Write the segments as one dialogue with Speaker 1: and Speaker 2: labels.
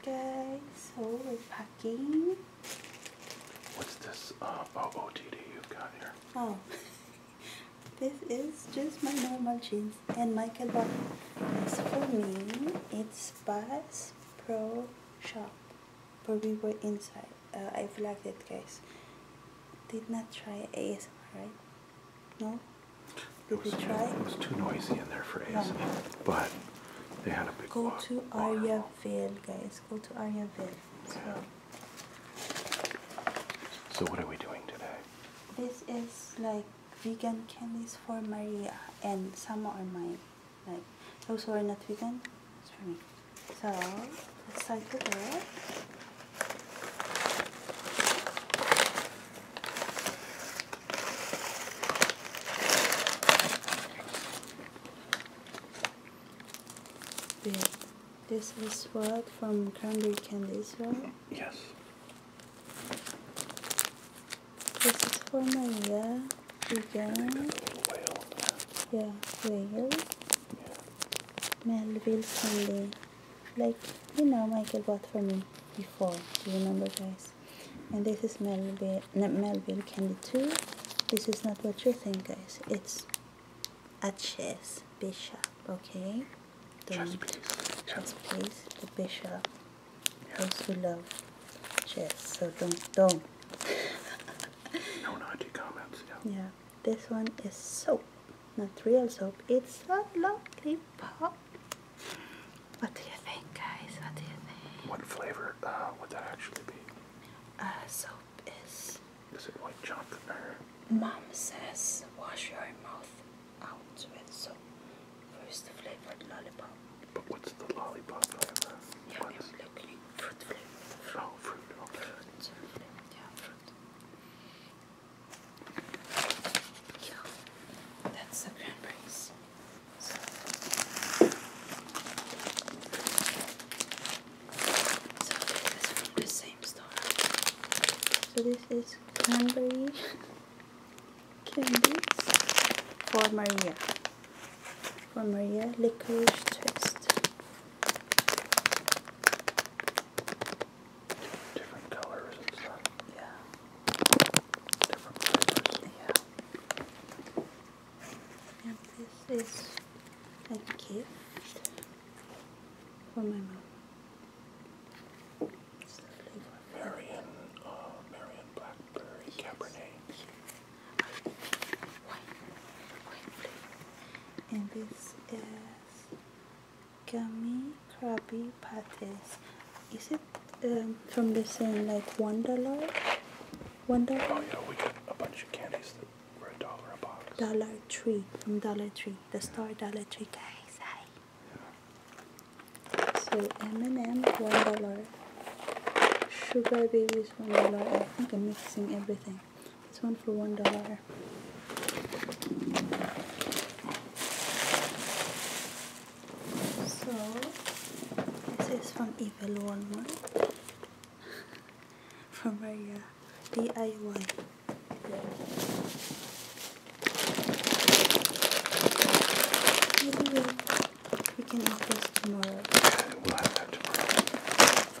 Speaker 1: Okay, so we're packing.
Speaker 2: What's this uh, OOTD you got
Speaker 1: here? Oh, this is just my normal jeans and Michael Bond. As for me, it's Bass Pro Shop, but we were inside. Uh, I flagged it, guys. Did not try ASMR, right? No? It was
Speaker 2: too noisy in there for ASMR, but they had a big
Speaker 1: Go to Arya Ville, guys. Go to Arya Ville. So.
Speaker 2: so what are we doing today?
Speaker 1: This is like vegan candies for Maria, and some are mine. Like those who are not vegan, it's So let's start with it. This is what from Cranberry Candy as well? Yes. This is for Maria again. Yeah, Layer. Yeah. Melville Candy like you know Michael bought for me before do you remember guys and this is Melville, Melville candy too this is not what you think guys it's a chess bishop okay don't chess please, chess, please. the bishop those who love chess so don't don't
Speaker 2: no naughty comments
Speaker 1: yeah. this one is so not real soap. It's a lollipop. What do you think, guys? What do you
Speaker 2: think? What flavor uh, would that actually be?
Speaker 1: Uh, soap
Speaker 2: is. Is it white chocolate or? Mom says wash your mouth out with soap. First flavored lollipop. But what's the lollipop flavor? Yeah, what is look, fruit flavor. Oh, fruit.
Speaker 1: Yeah, that's the cranberries. So. so this is from the same store. So this is cranberry candies for Maria. For Maria Licorice Twist different colors and stuff. Yeah. Different flavors. Yeah. And this is a gift for my mom.
Speaker 2: Marion, Marion uh, Blackberry Cabernet.
Speaker 1: And this is gummy crabby patties is it um, from the same like one dollar one dollar oh yeah we
Speaker 2: got a bunch of candies that were a
Speaker 1: dollar a box dollar tree from dollar tree the Star dollar tree guys so m&m one dollar sugar babies one dollar i think i'm mixing everything it's one for one dollar. So this is from Evil Walmart from Maria DIY. Maybe
Speaker 2: we, we can open this tomorrow. We'll have that tomorrow.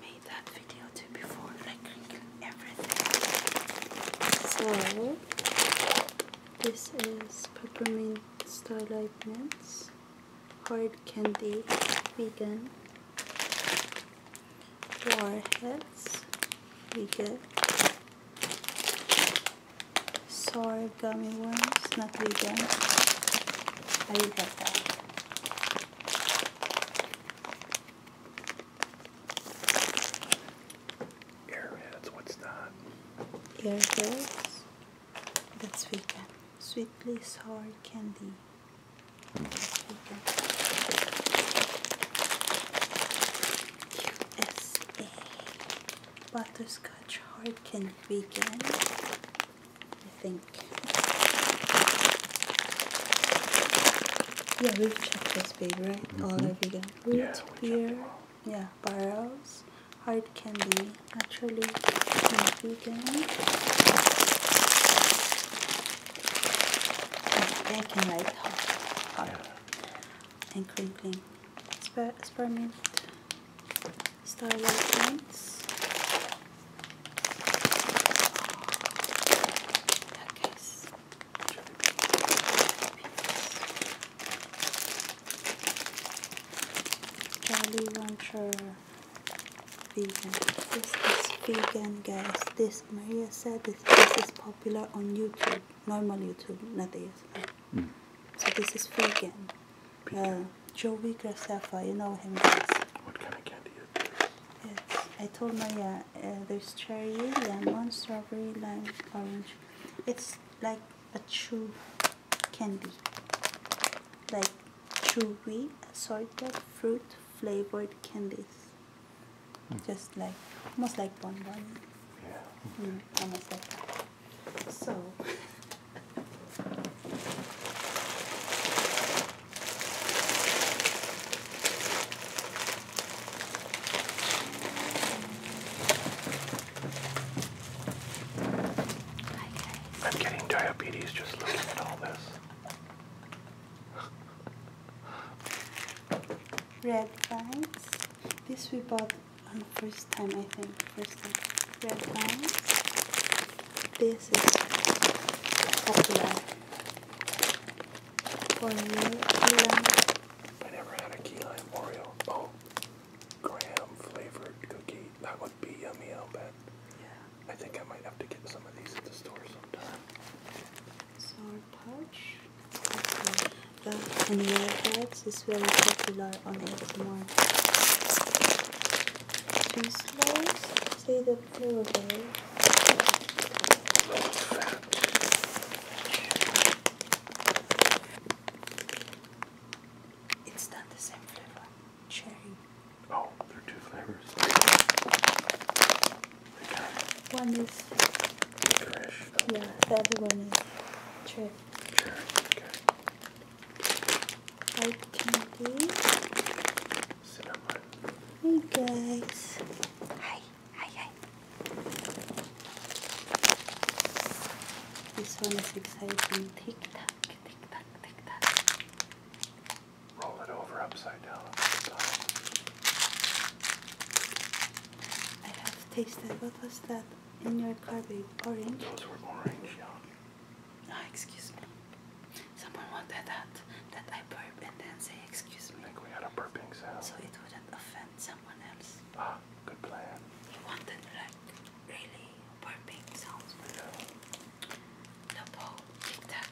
Speaker 1: made that video too before, like everything. So, this is peppermint starlight mints, hard candy, vegan, warheads, vegan, sour gummy worms, not vegan. I love that. Airheads, what's that? Airheads? That's vegan. Sweetly sour candy. That's vegan. USA. Butterscotch hard can vegan. I think. Yeah, we've checked this big, right? Mm-hmm. All are vegan. Root yeah, beer, yeah, barrels, hard candy, naturally vegan. I can like hot, hot. Yeah. and crinkling. Sper spearmint, starlight points, that case. Jolly Rancher vegan. This is vegan, guys. This Maria said this, is popular on YouTube, normal YouTube, not ASMR. Mm. So this is vegan. Uh, um, Joey Graceffa, you know him guys. What kind of candy is It's, I told Maria, uh, there's cherry, lemon, strawberry, lime, orange. It's like a chew candy. Like chewy assorted fruit flavored candies. Hmm. Just like, almost like bonbon. Yeah. Okay. Mm, almost like that. So,
Speaker 2: I'm getting diabetes just looking at all this.
Speaker 1: Red vines. This we bought on the first time, I think red This is popular for you, I never had a key lime Oreo. Oh,
Speaker 2: graham flavored cookie. That would be yummy, I'll I think I might have to get some of these at the store
Speaker 1: sometime. Sour pouch. Okay. Love and Red is very popular on ASMR. Two slices. See the blueberries. It's not the same flavor. Cherry. Oh, there are two flavors. Okay. One is licorice. Yeah, the one is cherry hard candy. Cinnamon. Hey guys. Hi, hi, hi. This one is exciting. Tic tac, tic tac, tic tac. Roll it over upside down. Upside down. I have tasted. What was that in your car, babe? Orange?
Speaker 2: Those were orange, yeah. Ah, excuse me. Someone wanted that that I burp and then say excuse me. I think we had a burping sound. So it wouldn't
Speaker 1: offend someone else.
Speaker 2: Ah, good plan. He
Speaker 1: wanted like
Speaker 2: really burping sounds. Yeah. Lopo, tic tac.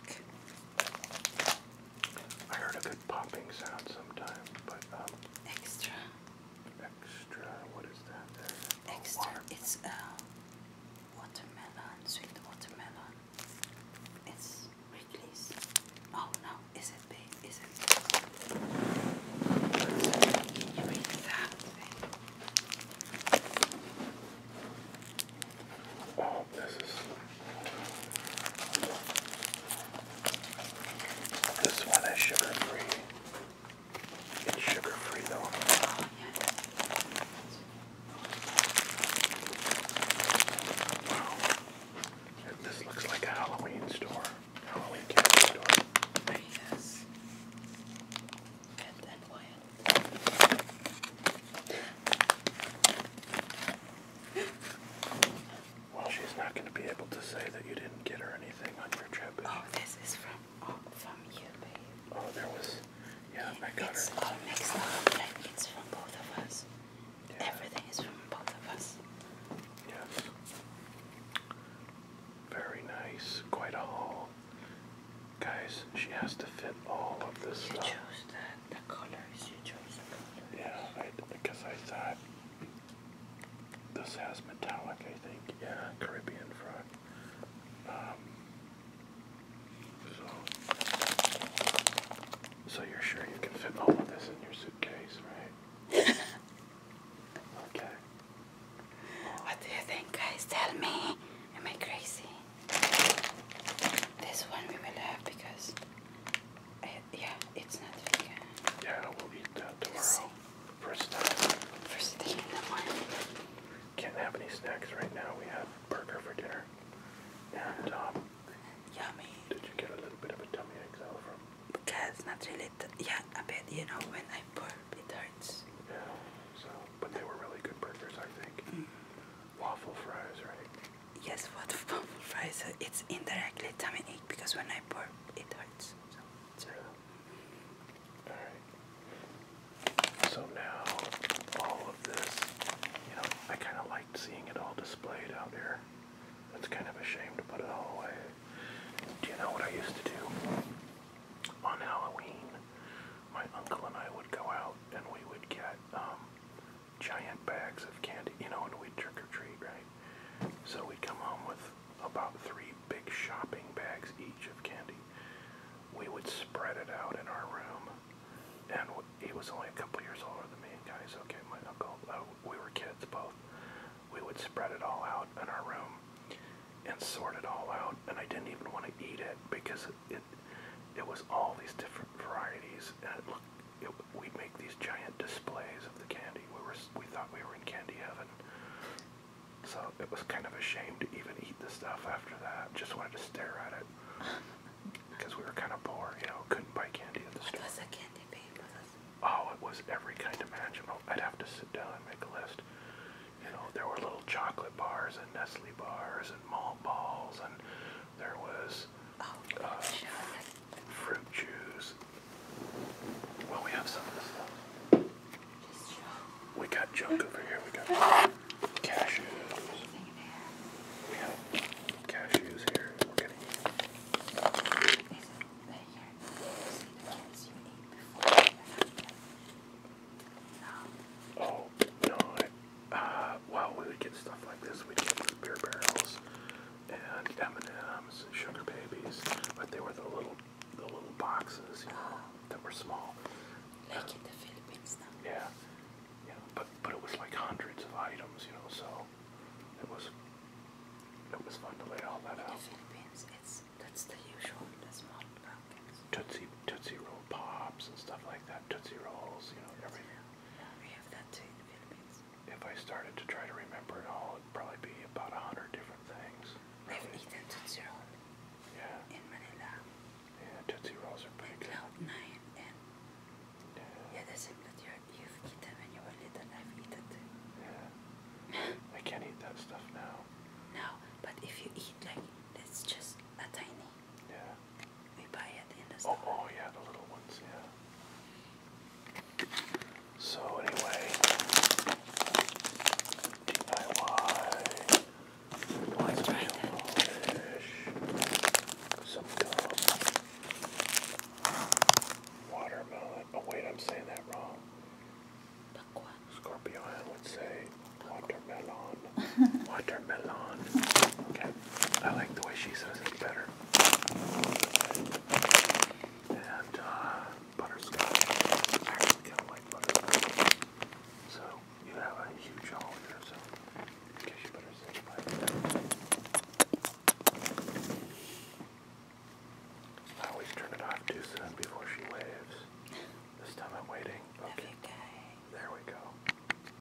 Speaker 2: I heard a good popping sound sometime, but um. Extra extra. What is that there? Extra. It's uh, watermelon, sweet watermelon. It's Wrigley's. Oh no, is it big? Is it? Can you read that Oh, this is. This one is sugar free. It's sugar free though. Wow. this looks like a Halloween store. Halloween candy store. There And then Wyatt. she's not going to be able to say that you didn't get her any Oh, this is from oh, from you, babe. Oh, there was. Yeah, I got it's It's all mixed up. it's from both of us. Everything is from both of us. Yes. Very nice. Quite a haul. Guys, she has to fit all of this stuff. You chose the, the colors. You chose the colors. Yeah, I, because I thought this has metallic, I think. Yeah, Caribbean frog. Um, so, you're sure you can fit all of this in your suitcase,
Speaker 1: right? okay. What do you think, guys? Tell me. Am I crazy? This one we will
Speaker 2: have because yeah, it's not vegan. Yeah, we'll eat that tomorrow. First time. First thing in the morning. Can't have any snacks right now. We have burger for dinner. And, uh, um... Yummy. Did you get a little bit of a tummy ache, though, from... Because, not really... Yeah, a bit. You know, when I burp, it hurts. Yeah, so... But they were really good burgers, I think. Mm. Waffle
Speaker 1: fries, right? Yes, waffle fries. Uh, it's indirectly tummy ache because when I burp,
Speaker 2: it hurts. Yes. Zero. Alright. So now all of this, you know, I kind of liked seeing it all displayed out here. It's kind of a shame to put it all away. Do you know what I used to do? On Halloween, my uncle and I would go out and we would get um, giant bags of candy, you know, and we'd trick or treat, right? So we come home with about three big shopping bags each of candy. We would spread it out in our room, and he was only a couple years older than me, guys. Okay, my uncle, uh, we were kids both. We would spread it all out in our room and sort it all out, and I didn't even want to eat it because it, it it was all these different varieties, and it looked it, we'd make these giant displays of the candy. We were we thought we were in candy heaven. So it was kind of a shame to even eat the stuff after that. Just wanted to stare at it because we were kind of poor. You know, couldn't buy candy at the what store. was the candy being? Oh, it was every kind imaginable. I'd have to sit down and make a list. You know, there were little chocolate bars and Nestle bars and malt balls and there was oh, uh, sure fruit juice. Well, we have some of this stuff. we got junk over here. We got cashews. We have cashews here. We're gonna um, Oh no! Uh, well, we would get stuff like this. we get beer barrels and M&M's, Sugar Babies, but they were the little the little boxes, you know, that were small. Like in the Philippines now. Yeah, yeah, but but it was like hundreds of items, you know, so it was it was fun to lay all that in out. In the Philippines, it's that's the usual, the small pumpkins. Tootsie Tootsie Roll pops and stuff like that, Tootsie Rolls, you know, everything. Yeah, we have that too in the Philippines if I started to try to remember it all, it'd probably be about a hundred different things. I've eaten Tootsie Roll. Yeah. In Manila. Yeah, Tootsie Rolls are pretty Cloud Nine yeah, yeah the same that you've eaten when you were little. I've eaten too. Yeah. I can't eat that stuff now.
Speaker 1: No, but if you eat like, let just a tiny.
Speaker 2: Yeah oh, oh yeah, the little ones, yeah. So anyway, DIY. Let's Some gum. Watermelon. Oh wait, I'm saying that wrong. Scorpion would say watermelon. watermelon. Okay. I like the way she says it better. And uh, butterscotch. I like butterscotch. So you have a huge haul here, so I guess you better say I always turn it off too soon before she waves. This time I'm waiting. Okay. There we go.